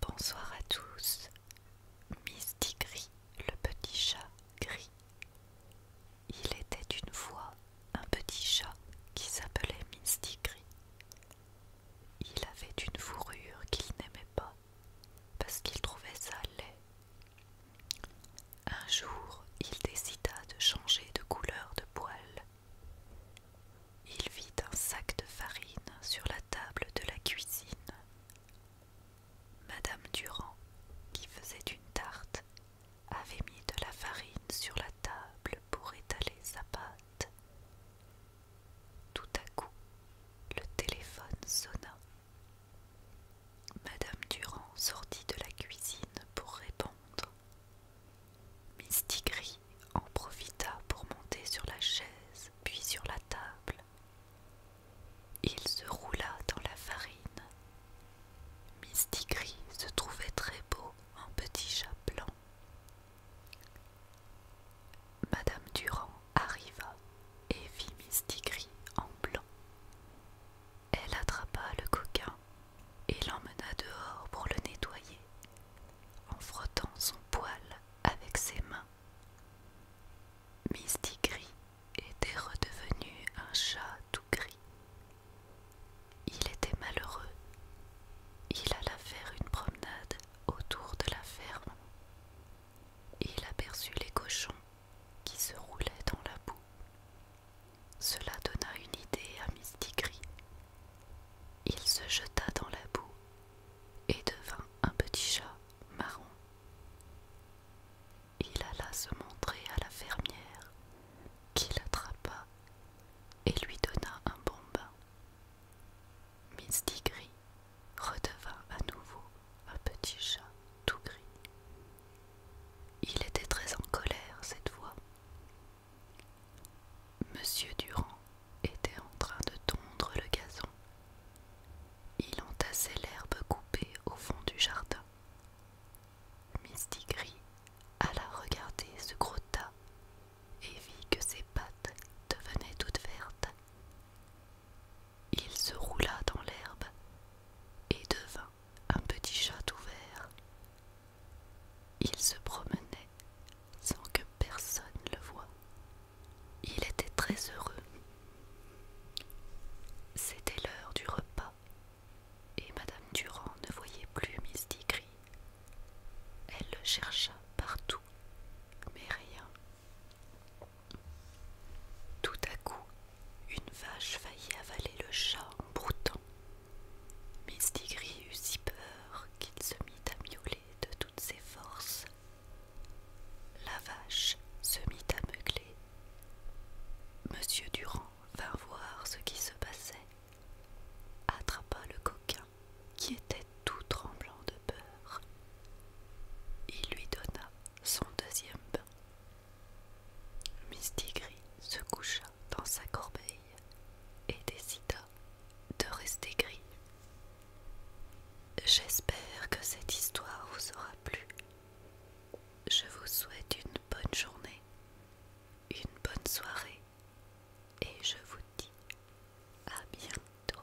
Bonsoir à tous. Misty Gris, le petit chat gris. Il était une fois un petit chat qui s'appelait Misty Gris. Il avait une fourrure qu'il n'aimait pas parce qu'il trouvait ça laid. Un jour, il décida de changer de couleur de poil il vit un sac de farine sur la table de la cuisine. Madame Durand, qui faisait une tarte, avait mis de la farine sur la table pour étaler sa pâte. Tout à coup, le téléphone sonna. Madame Durand sortit de la cuisine pour répondre. Mistigris en profita pour monter sur la chaise, puis sur la table. Il se roula dans la farine. Mistigris se trouvait très beau en petit chat blanc. Madame Durand arriva et vit Mistigris en blanc. Elle attrapa le coquin et l'emmena dehors pour le nettoyer, en frottant son poil avec ses mains. Misty Gris était redevenu un chat tout gris. Il était malheureux. Il alla faire une promenade autour de la ferme. Il aperçut les cochons qui se roulaient dans la boue. Cela donna une idée à Mistigris. Il se jeta dans la boue et devint un petit chat marron. Il alla se montrer à la fermière, qui l'attrapa et lui donna un bon bain. Mistigris redevint à nouveau un petit chat tout gris. Il était très en colère cette fois. Monsieur Durand était en train de tondre le gazon. Il entassait l'herbe coupée au fond du jardin. Misty Gris alla regarder ce gros tas et vit que ses pattes devenaient toutes vertes. Il se roula dans l'herbe et devint un petit chat ouvert, Il se promenait sans que personne le voie. Il était très heureux. C'était l'heure du repas et Madame Durand ne voyait plus Mistigris. Elle le chercha partout, mais rien. Tout à coup, une vache faillit avaler le chat en broutant. Mistigris eut si peur qu'il se mit à miauler de toutes ses forces. La vache se mit à meugler. Monsieur Durand vint voir ce qui se passait, attrapa le coquin qui était tout tremblant de peur. Il lui donna son deuxième bain Gris se coucha dans sa corbeille et décida de rester gris. J'espère que cette histoire vous aura plu. Je vous souhaite une bonne journée, une bonne soirée et je vous dis à bientôt.